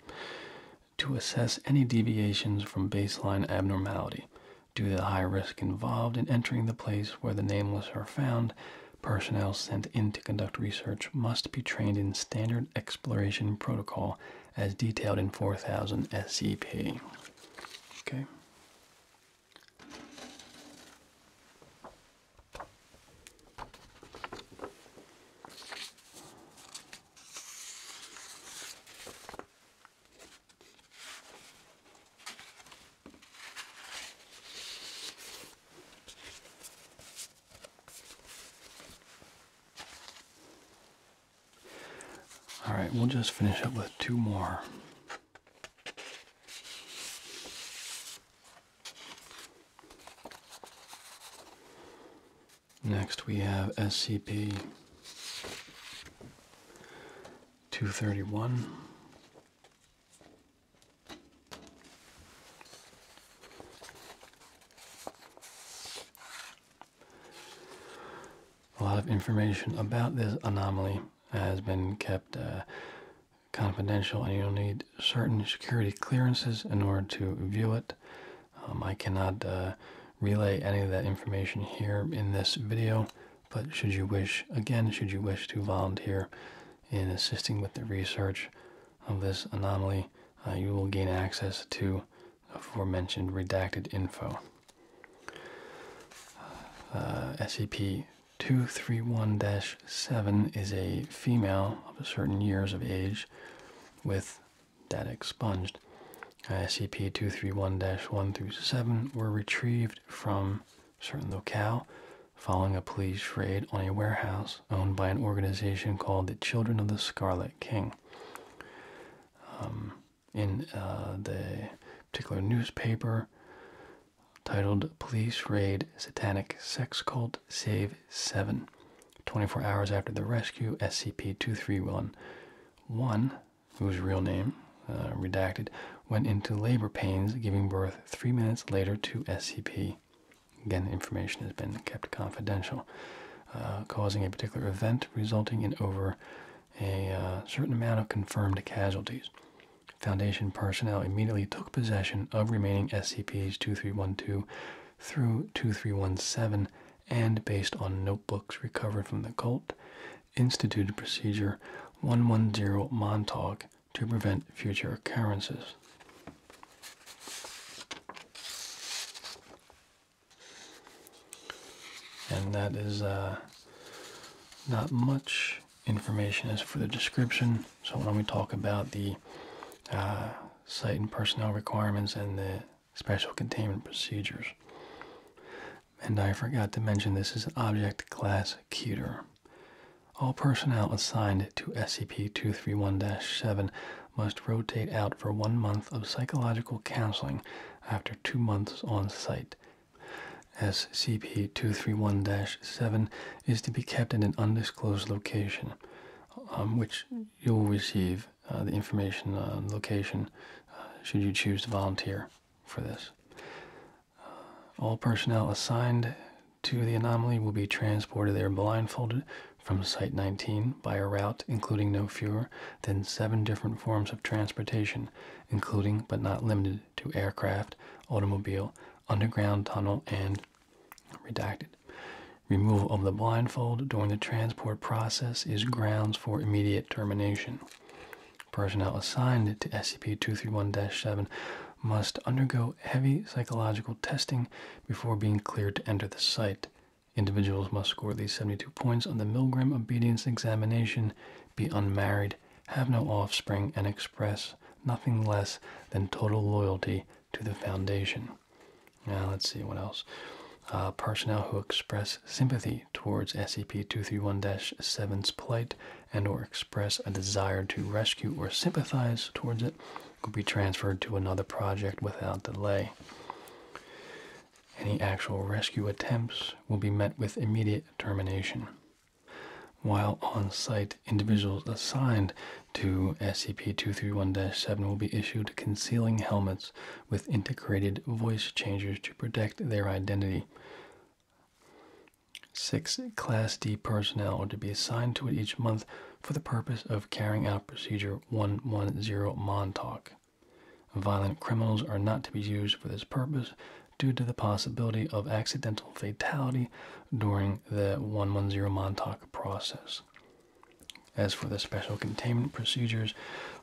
S1: to assess any deviations from baseline abnormality. Due to the high risk involved in entering the place where the nameless are found, personnel sent in to conduct research must be trained in standard exploration protocol as detailed in 4000 SCP. Okay. All right, we'll just finish up with two more Next, we have SCP 231. A lot of information about this anomaly has been kept uh, confidential and you'll need certain security clearances in order to view it. Um, I cannot uh, relay any of that information here in this video, but should you wish, again, should you wish to volunteer in assisting with the research of this anomaly, uh, you will gain access to aforementioned redacted info. Uh, SCP 231 7 is a female of a certain years of age with data expunged. Uh, SCP 231 1 through 7 were retrieved from a certain locale following a police raid on a warehouse owned by an organization called the Children of the Scarlet King. Um, in uh, the particular newspaper titled Police Raid Satanic Sex Cult Save 7. 24 hours after the rescue, SCP 2311, whose real name, uh, redacted, went into labor pains, giving birth three minutes later to SCP. Again, information has been kept confidential, uh, causing a particular event resulting in over a uh, certain amount of confirmed casualties. Foundation personnel immediately took possession of remaining SCPs 2312 through 2317 and, based on notebooks recovered from the cult, instituted procedure 110 Montauk to prevent future occurrences. And that is uh, not much information as for the description. So when we talk about the uh, site and personnel requirements and the special containment procedures. And I forgot to mention this is object class cuter. All personnel assigned to SCP-231-7 must rotate out for one month of psychological counseling after two months on site. SCP-231-7 is to be kept in an undisclosed location, um, which you'll receive uh, the information on location uh, should you choose to volunteer for this. Uh, all personnel assigned to the anomaly will be transported there blindfolded from Site 19 by a route including no fewer than seven different forms of transportation, including but not limited to aircraft, automobile, underground tunnel, and redacted. Removal of the blindfold during the transport process is grounds for immediate termination. Personnel assigned to SCP 231 7 must undergo heavy psychological testing before being cleared to enter the site. Individuals must score at least 72 points on the Milgram obedience examination, be unmarried, have no offspring, and express nothing less than total loyalty to the foundation. Now, let's see what else. Uh, personnel who express sympathy towards SCP-231-7's plight and or express a desire to rescue or sympathize towards it will be transferred to another project without delay. Any actual rescue attempts will be met with immediate termination. While on site, individuals assigned to SCP 231 7 will be issued concealing helmets with integrated voice changers to protect their identity. Six Class D personnel are to be assigned to it each month for the purpose of carrying out Procedure 110 Montauk. Violent criminals are not to be used for this purpose due to the possibility of accidental fatality during the 110 Montauk process. As for the special containment procedures,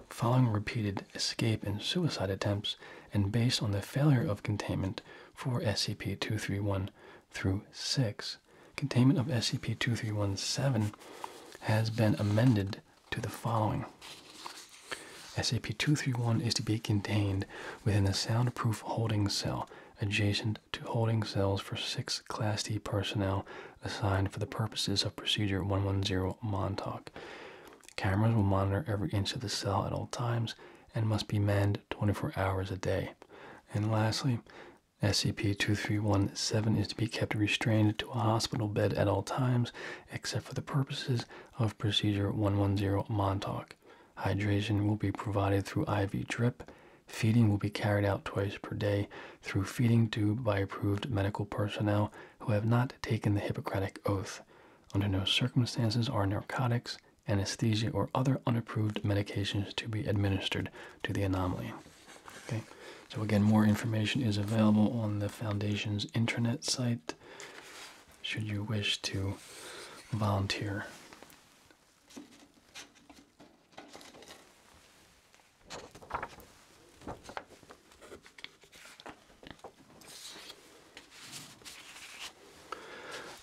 S1: following repeated escape and suicide attempts, and based on the failure of containment for SCP 231 through 6, containment of SCP 2317 has been amended to the following. SCP-231 is to be contained within a soundproof holding cell adjacent to holding cells for six Class D personnel assigned for the purposes of Procedure 110 Montauk. Cameras will monitor every inch of the cell at all times and must be manned 24 hours a day. And lastly, SCP-2317 is to be kept restrained to a hospital bed at all times except for the purposes of procedure 110 Montauk. Hydration will be provided through IV drip. Feeding will be carried out twice per day through feeding tube by approved medical personnel who have not taken the Hippocratic Oath. Under no circumstances are narcotics, anesthesia, or other unapproved medications to be administered to the anomaly. Okay. So again, more information is available on the foundation's intranet site should you wish to volunteer.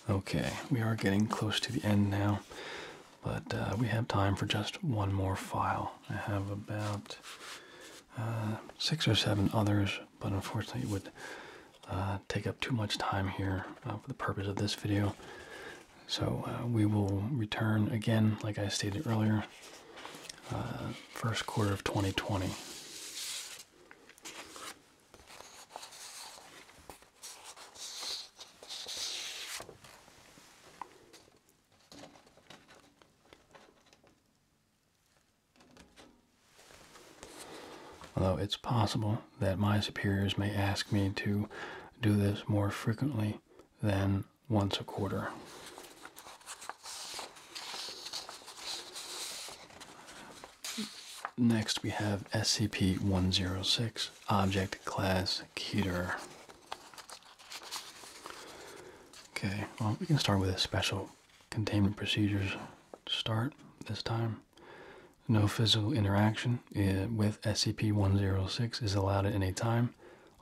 S1: Okay, we are getting close to the end now, but uh, we have time for just one more file. I have about uh, six or seven others but unfortunately it would uh, take up too much time here uh, for the purpose of this video. So uh, we will return again, like I stated earlier, first quarter of 2020. Although it's possible that my superiors may ask me to do this more frequently than once a quarter. Next, we have SCP 106, Object Class Keter. Okay, well, we can start with a special containment procedures start this time. No physical interaction eh, with SCP-106 is allowed at any time.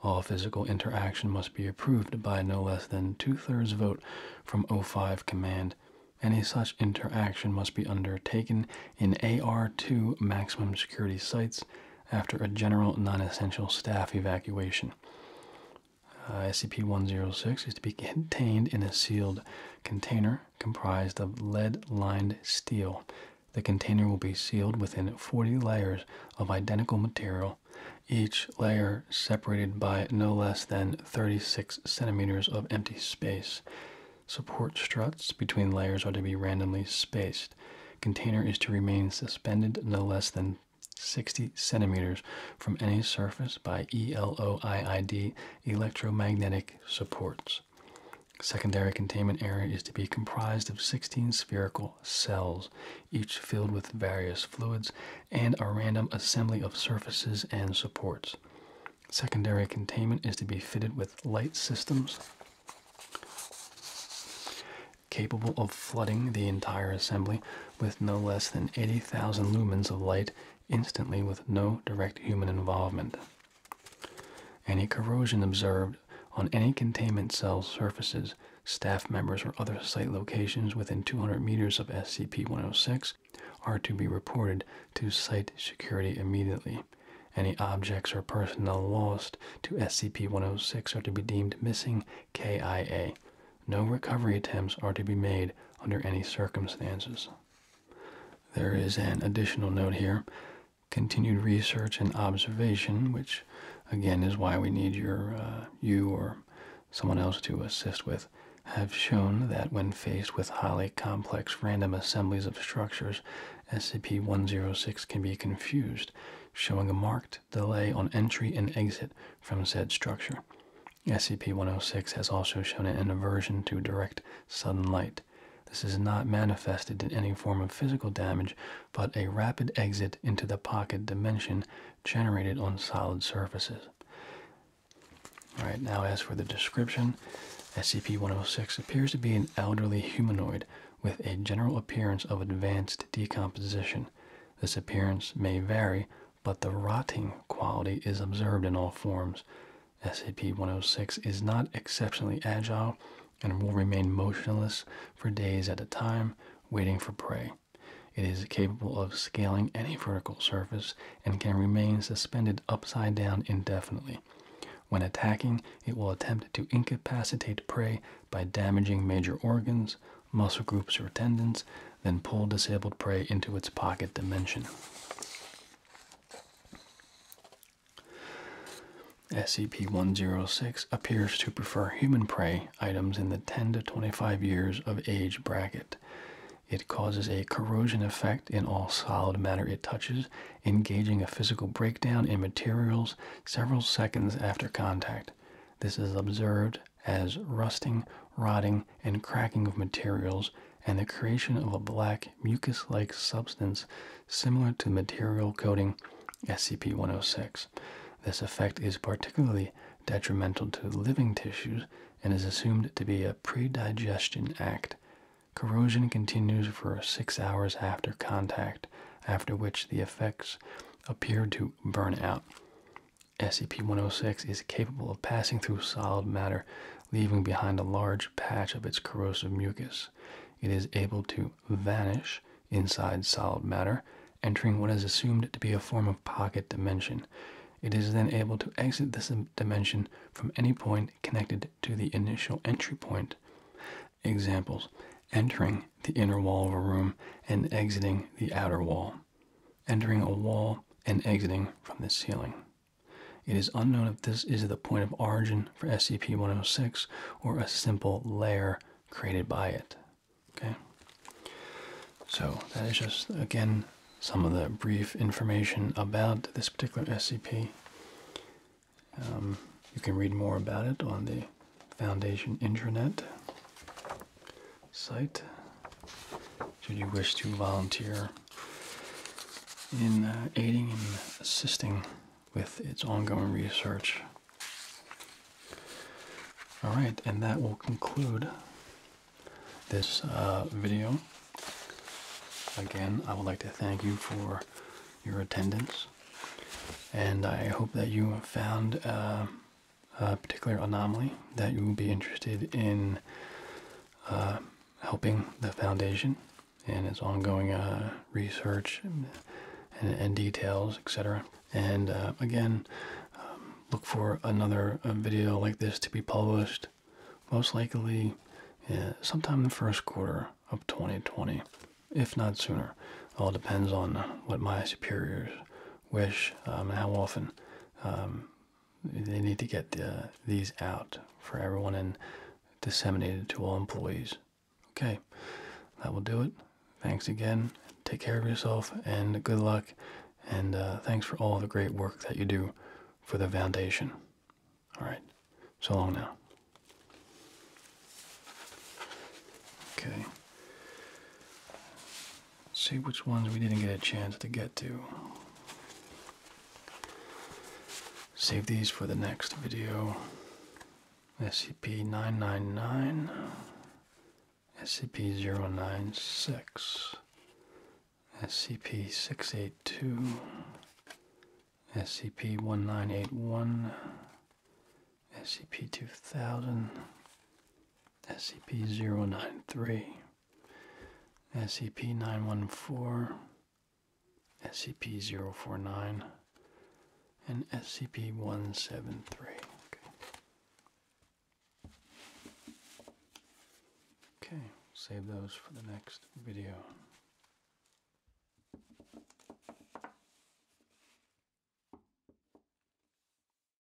S1: All physical interaction must be approved by no less than two-thirds vote from O5 Command. Any such interaction must be undertaken in AR-2 maximum security sites after a general non-essential staff evacuation. Uh, SCP-106 is to be contained in a sealed container comprised of lead-lined steel. The container will be sealed within 40 layers of identical material, each layer separated by no less than 36 centimeters of empty space. Support struts between layers are to be randomly spaced. Container is to remain suspended no less than 60 centimeters from any surface by ELOIID electromagnetic supports. Secondary containment area is to be comprised of 16 spherical cells, each filled with various fluids and a random assembly of surfaces and supports. Secondary containment is to be fitted with light systems capable of flooding the entire assembly with no less than 80,000 lumens of light instantly with no direct human involvement. Any corrosion observed on any containment cell surfaces, staff members, or other site locations within 200 meters of SCP 106 are to be reported to site security immediately. Any objects or personnel lost to SCP 106 are to be deemed missing KIA. No recovery attempts are to be made under any circumstances. There is an additional note here continued research and observation, which again is why we need your uh, you or someone else to assist with, have shown that when faced with highly complex random assemblies of structures, SCP-106 can be confused, showing a marked delay on entry and exit from said structure. SCP-106 has also shown an aversion to direct sudden light. This is not manifested in any form of physical damage, but a rapid exit into the pocket dimension generated on solid surfaces. All right, now as for the description, SCP-106 appears to be an elderly humanoid with a general appearance of advanced decomposition. This appearance may vary but the rotting quality is observed in all forms. SAP 106 is not exceptionally agile and will remain motionless for days at a time, waiting for prey. It is capable of scaling any vertical surface and can remain suspended upside down indefinitely. When attacking, it will attempt to incapacitate prey by damaging major organs, muscle groups, or tendons, then pull disabled prey into its pocket dimension. SCP 106 appears to prefer human prey items in the 10 to 25 years of age bracket. It causes a corrosion effect in all solid matter it touches, engaging a physical breakdown in materials several seconds after contact. This is observed as rusting, rotting, and cracking of materials, and the creation of a black, mucus like substance similar to material coating SCP 106. This effect is particularly detrimental to living tissues and is assumed to be a predigestion act. Corrosion continues for six hours after contact, after which the effects appear to burn out. SCP-106 is capable of passing through solid matter, leaving behind a large patch of its corrosive mucus. It is able to vanish inside solid matter, entering what is assumed to be a form of pocket dimension. It is then able to exit this dimension from any point connected to the initial entry point. Examples: entering the inner wall of a room and exiting the outer wall entering a wall and exiting from the ceiling. It is unknown if this is the point of origin for SCP-106 or a simple layer created by it. Okay. So that is just again some of the brief information about this particular SCP. Um, you can read more about it on the Foundation intranet site should you wish to volunteer in uh, aiding and assisting with its ongoing research. All right, and that will conclude this uh, video. Again, I would like to thank you for your attendance, and I hope that you found uh, uh, particular anomaly that you will be interested in uh, helping the foundation and its ongoing uh, research and, details, etc. And uh, again, um, look for another video like this to be published, most likely sometime in the first quarter of 2020, if not sooner. All depends on what my superiors wish um, and how often um, they need to get the, uh, these out for everyone and disseminated to all employees. Okay, that will do it. Thanks again. Take care of yourself and good luck. And uh, thanks for all the great work that you do for the foundation. All right, so long now. Okay see which ones we didn't get a chance to get to. Save these for the next video. SCP-999, SCP-096, SCP-682, SCP-1981, SCP-2000, SCP-093, SCP-914, SCP-049, and SCP-173. Okay. save those for the next video.